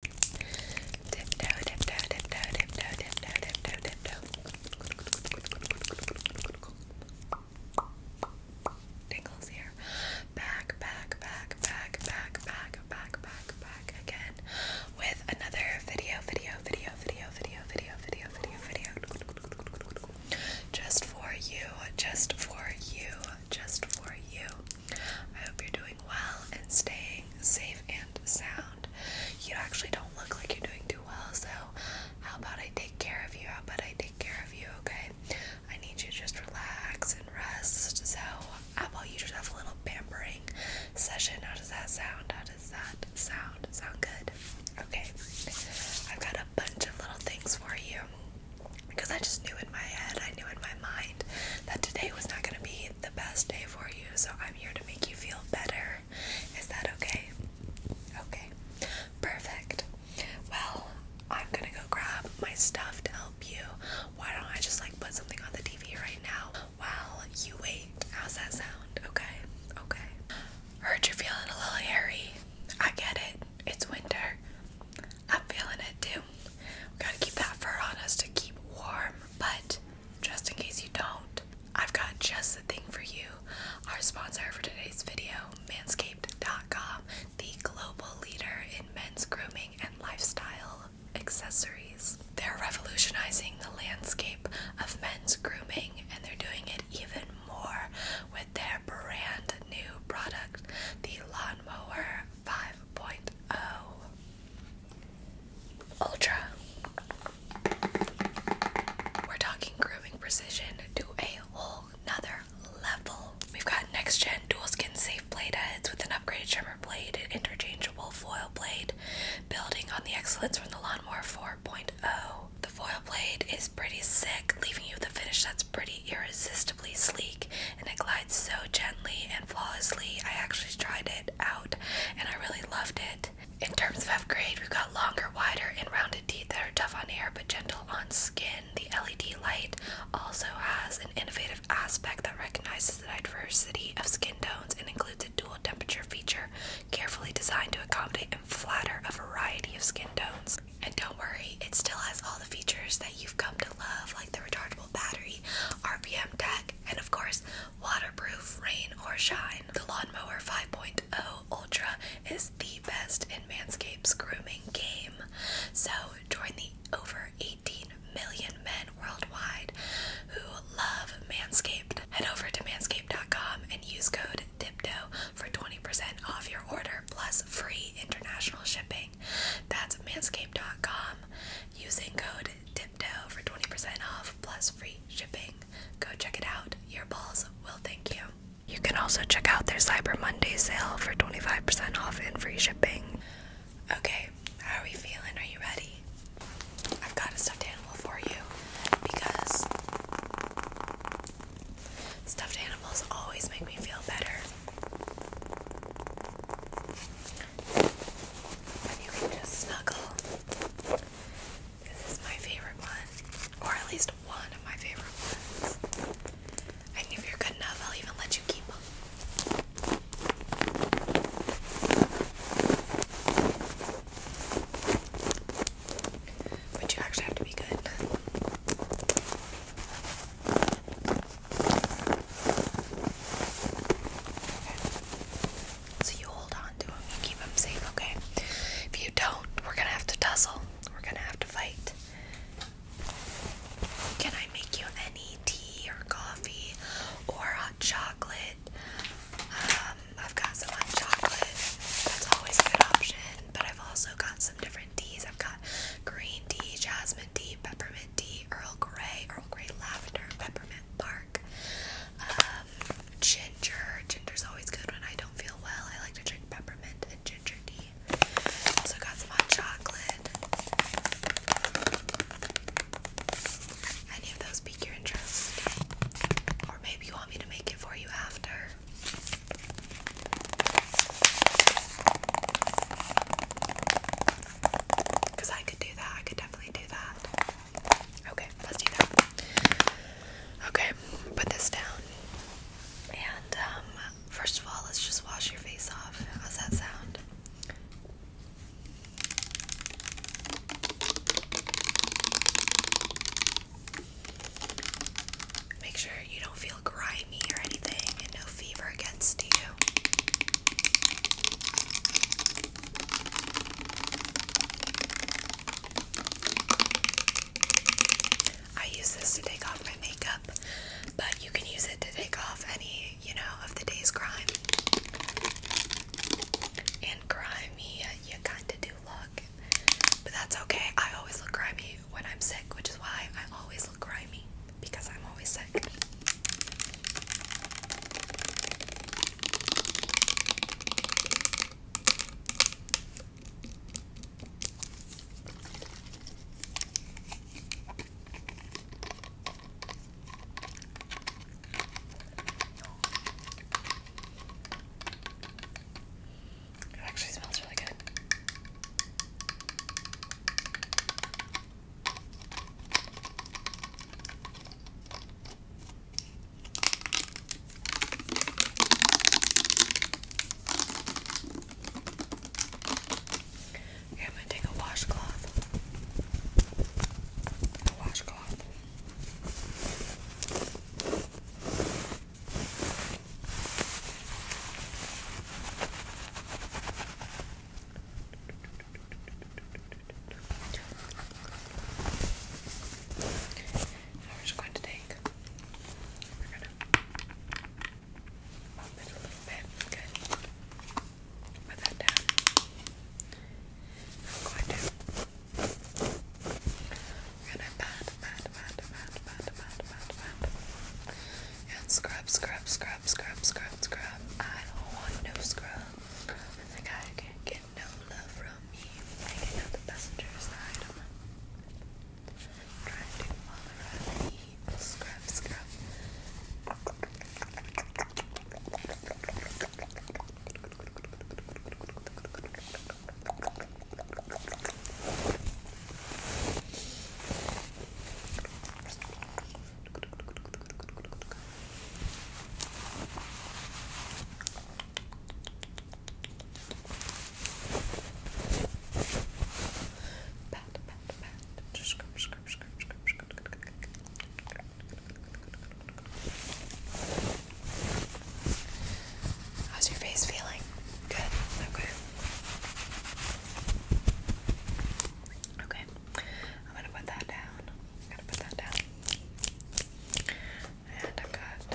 Tiptoe, here. Back, back, back, back, back, back, back, back, back again with another video, video, video, video, video, video, video, video, video. Just for you, just for you, just for you. I hope you're doing well and staying safe and sound. You actually don't look like you're doing too well, so how about I take care of you? How about I take care of you, okay? I need you to just relax and rest. So, how about you just have a little pampering session? How does that sound? How does that sound? Sound good? Okay. I've got a bunch of little things for you because I just knew in my head, I knew in my mind that today was not going to be the best day for you, so I'm here to make you feel better. Is that okay? Okay, perfect. Well, I'm gonna go grab my stuff to help you. Why don't I just like put something on the TV right now while you wait? How's that sound? Okay, okay. Heard you're feeling a little hairy. I get it, it's winter. I'm feeling it too. We gotta keep that fur on us to keep warm, but just in case you don't, I've got just the thing for you. Our sponsor for today's video, manscaped.com, the global leader in men's grooming and lifestyle accessories. They're revolutionizing the landscape of men's grooming and they're doing it even more with their brand new product, the Lawnmower 5.0 Ultra. We're talking grooming precision to a whole nother level. We've got next gen dual skin safe blade heads with an upgraded trimmer blade and interchangeable foil blade, building on the excellence from the Lawnmower 4.0. The foil blade is pretty sick, leaving you with a finish that's pretty irresistible irresistibly sleek and it glides so gently and flawlessly. I actually tried it out and I really loved it. In terms of upgrade, we've got longer, wider, and rounded teeth that are tough on hair but gentle on skin. The LED light also has an innovative aspect that recognizes the diversity of skin tones and includes a dual temperature feature carefully designed to accommodate and flatter a variety of skin tones. And don't worry, it still has all the features that you've come to love, like the rechargeable rechargeable battery, RPM tech, and of course, waterproof rain or shine. The Lawnmower 5.0 Ultra is the best in Manscaped's grooming game. So join the over 18 million men worldwide who love Manscaped. Head over to manscaped.com and use code DIPTO for 20% off your order plus free international shipping. That's manscaped.com using code TIPTOE for 20% off plus free shipping. Go check it out. Your balls will thank you. You can also check out their Cyber Monday sale for 25% off and free shipping. Okay, how are we feeling? Are you ready? I've got a stuffed animal for you because stuffed animals always make me feel better. And you can just snuggle. This is my favorite one, or at least one of my favorite ones. And if you're good enough, I'll even let you keep them. But you actually have to be good. So you hold on to them, you keep them safe, okay? If you don't, we're gonna have to tussle. We're gonna have to fight. Can I make you any tea or coffee or hot chocolate? Um, I've got some hot chocolate. That's always a good option. But I've also got some different teas. I've got green tea, jasmine peppermint tea, Earl Grey, Earl Grey lavender, peppermint bark, um, ginger. Ginger's always good when I don't feel well. I like to drink peppermint and ginger tea. Also got some hot chocolate. Any of those pique your interest? Or maybe you want me to make it for you after. Because I could do that. I could definitely do that. Okay, let's do that. Okay, put this down. And, um, first of all, let's just wash your face off. How's that sound? Make sure you don't feel grimy grimy or anything and no fever gets you. I use this to take off my makeup, but you can use it to take off any, you know, of the day's grime. And grimy, you kinda do look. But that's okay. I always look grimy when I'm sick, which is why I always always look because I'm always sick. actually smells really good. Okay, I'm gonna take a washcloth. A washcloth we're just going to take, we're going to pop it a little bit, good. Put that down. I'm going to, we're going to pat, pat, pat, pat, pat, pat, pat, pat. And scrub, scrub, scrub, scrub, scrub, scrub. I don't want no scrub. And the can't get no love from me. Taking out the passenger side of my trying Scrub, scrub. How's your face feeling? Good. Okay. Okay, I'm gonna put that down. gonna put that down. And I've got a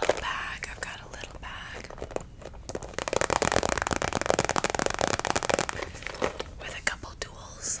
little bag. I've got a little bag with a couple tools.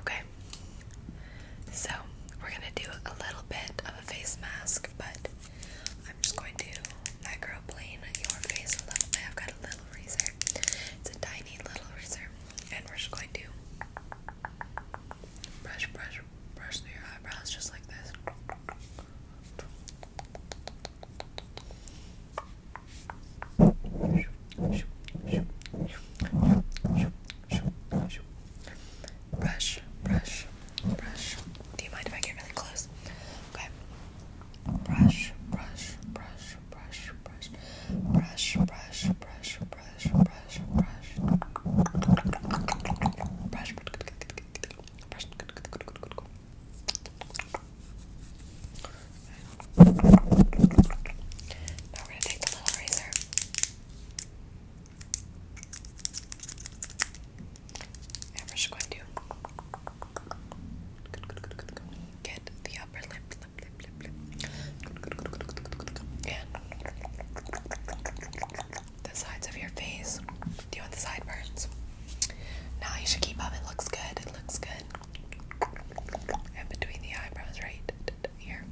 Okay, so we're gonna do a little bit of a face mask, but I'm just going to microplane your face a little bit. I've got a little razor, it's a tiny little razor, and we're just going to brush, brush, brush through your eyebrows just like this. Brush, brush, brush. Do you mind if I get really close? Okay. Brush, brush, brush, brush, brush, brush, brush, brush, brush, brush, brush, brush. Now we're going to take the little razor. And we're just going to get the upper lip, lip, lip, lip, lip. And the sides of your face. Do you want the sideburns? Now you should keep up. It looks good. It looks good. And between the eyebrows, right here.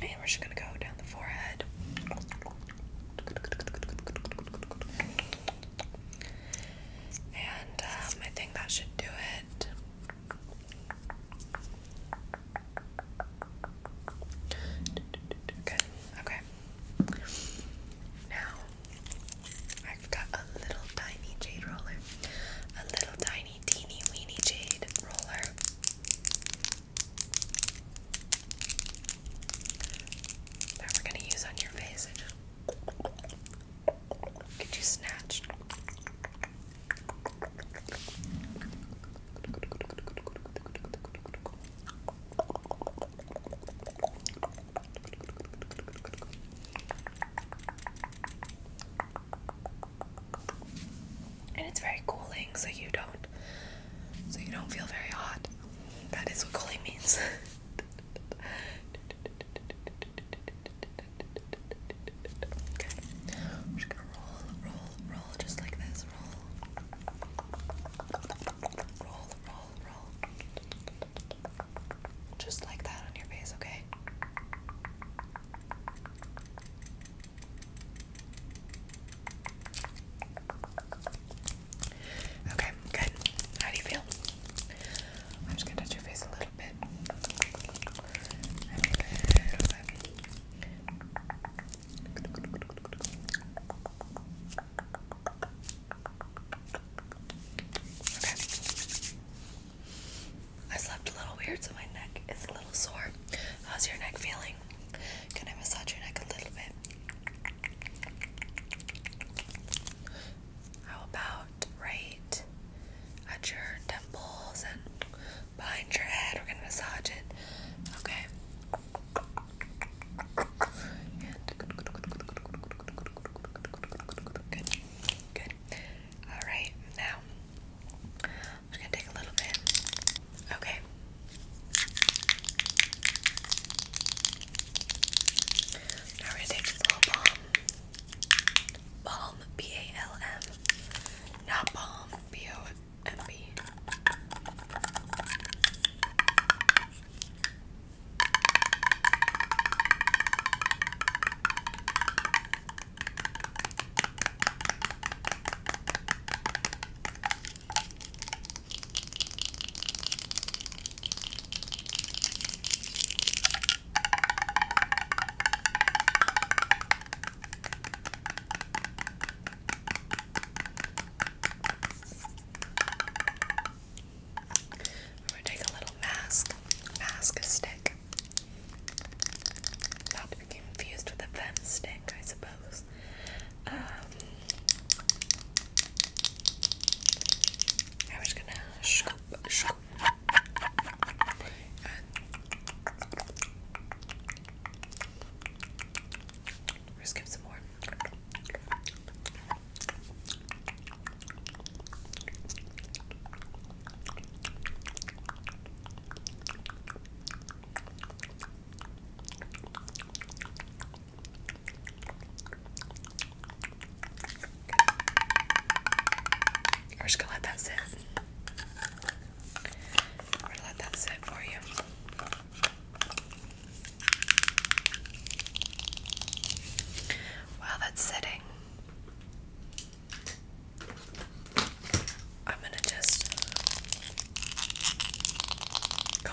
And we're just gonna go down the forehead. And um, I think that should do it. Good. Okay. Now I've got a little tiny jade roller, a little tiny teeny weeny jade roller. That we're gonna use on your face. Get you snatched. And it's very cooling, so you don't, so you don't feel very hot. That is what cooling means. Okay. I'm just gonna roll, roll, roll just like this. Roll. Roll, roll, roll. Just like that on your face, okay? Okay, good. How do you feel? I'm just gonna touch your face a little bit. Okay. I slept a little weird, so my neck is a little sore. How's your neck feeling? Can I massage your neck a little bit? How about right at your temples and behind your head? We're gonna massage it. Okay. good, good. All right, now I'm just gonna take a little bit. Okay, Nourish Balm. Balm, B A L M. Not Balm, B O M B. I'm gonna take a little mask, mask stick. Not to be confused with a fem stick, I suppose. Um, I was gonna scoop, scoop, and just some more. We're just gonna let that sit. We're gonna let that sit for you. While that's sitting, I'm gonna just go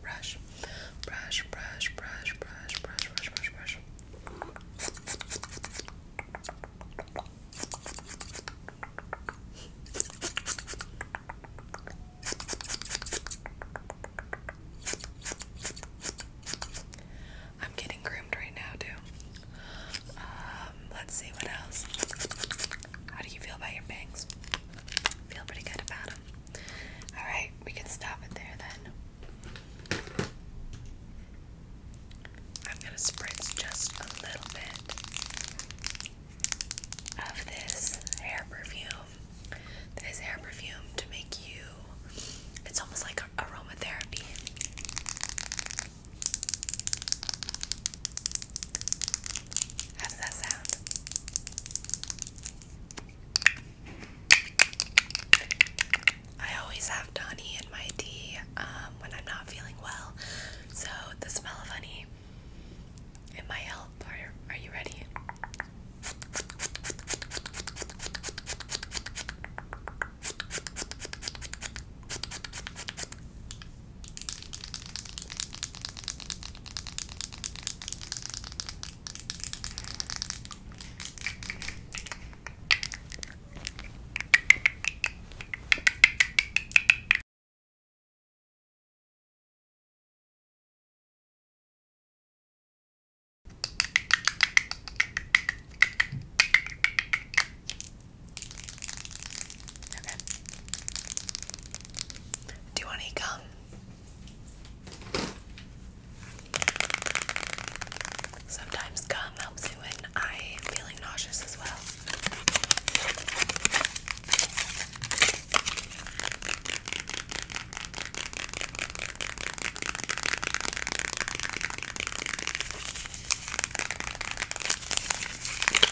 brush, brush, brush, brush, brush, brush, brush, brush, brush. I'm getting groomed right now, too. Um, let's see what else. How do you feel about your bangs? Feel pretty good about Alright, we can stop it there then. I'm going to spritz just a little bit of this hair perfume. This hair perfume to make you, it's almost like aromatherapy. How that sound? I always have honey in my tea um, when I'm not feeling well, so the smell of honey in my help. Are, are you ready? Do you want to eat gum? Sometimes gum helps me when I'm feeling nauseous as well.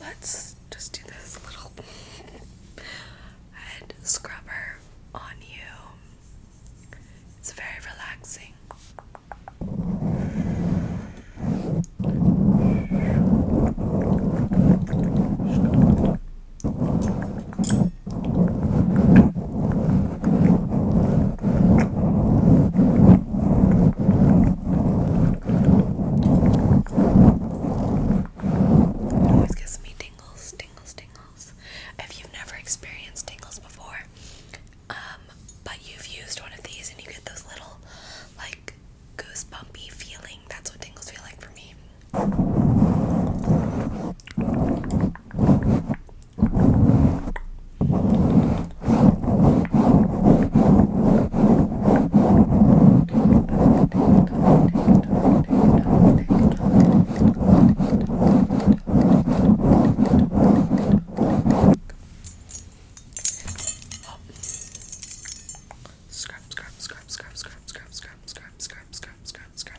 Let's just do this little head scrubber on you. It's very relaxing. It always gives me tingles, tingles, tingles. If you've never experienced tingles before, um, but you've used one of these and you get those little, like, goosebumpy feeling, that's what tingles feel like for me. Scrap, scrap, scrap, scrap, scrap, scrap, scrap, scrap, scrap, scrap, scrap, scrap.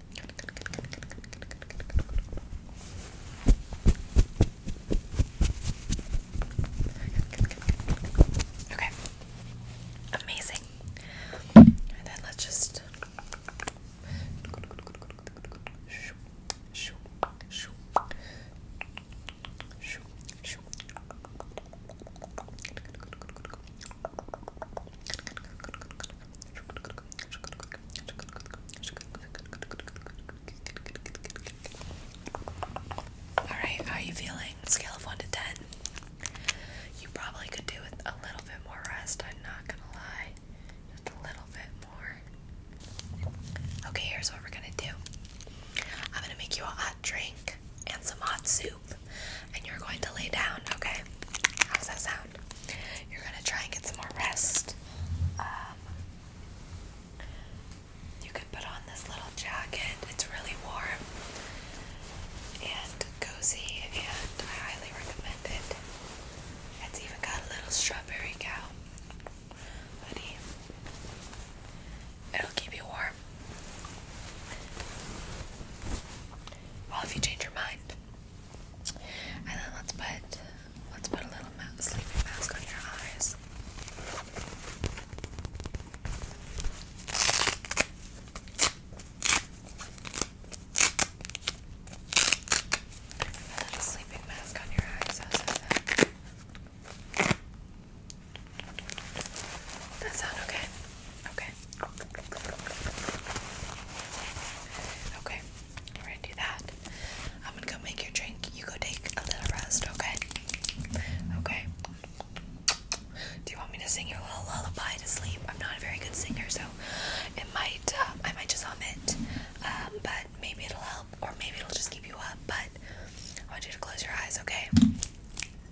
Okay. Amazing. And then let's just Alright, how are you feeling? Scale of 1 to 10. You probably could do with a little bit more rest, I'm not gonna lie. Just a little bit more. Okay, here's what we're gonna do I'm gonna make you a hot drink and some hot soup, and you're going to lay down, okay? How's that sound? You're gonna try and get some more rest. Um, you can put on this little jacket, it's really warm and cozy, and I highly recommend it. It's even got a little strawberry cow hoodie, it'll keep you warm. Well, if you change your mind, and then let's put let's put a little sleeping mask on your eyes. A little sleeping mask on your eyes. That sound okay? Okay. Okay. We're gonna do that. I'm gonna go make your drink. You go take a little rest, okay? Okay. Do you want me to sing your little lullaby to sleep? I'm not a very good singer, so it might um, I might just hum it. but maybe it'll help, or maybe it'll just keep you up. But I want you to close your eyes, okay?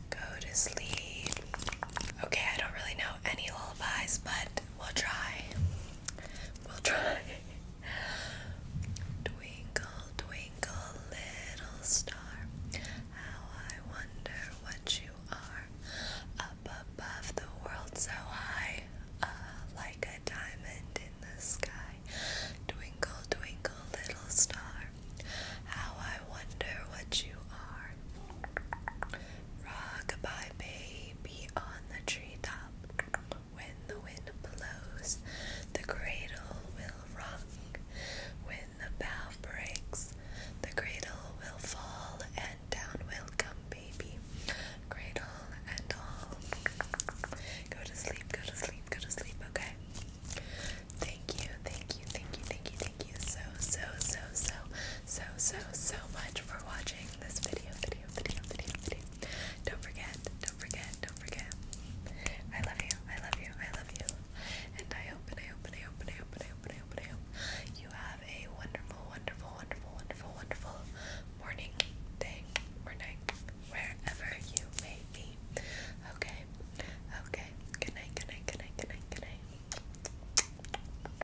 Go to sleep. Okay, I don't really know any lullabies, but we'll try. We'll try. Twinkle, twinkle, little star, how I wonder what you are. Up above the world so high, ah, like a diamond in the sky. Twinkle, twinkle, little star, how I wonder what you are rock baby on the treetop. When the wind blows, the cradle will rock. When the bough breaks, the cradle will fall, and down will come baby, cradle and all. Go to sleep, go to sleep, go to sleep, okay? Thank you, thank you, thank you, thank you, thank you so, so, so, so, so, so, so much for watching enjoying this video, video, video, video, video. Don't forget, don't forget, don't forget. I love you, I love you, I love you. And I hope, and I hope, and I hope, and I hope, and I hope, and I hope, and I hope you have a wonderful, wonderful, wonderful, wonderful, wonderful morning, day, or night, wherever you may be. Okay, okay. Good night, good night, good night, good night, good night.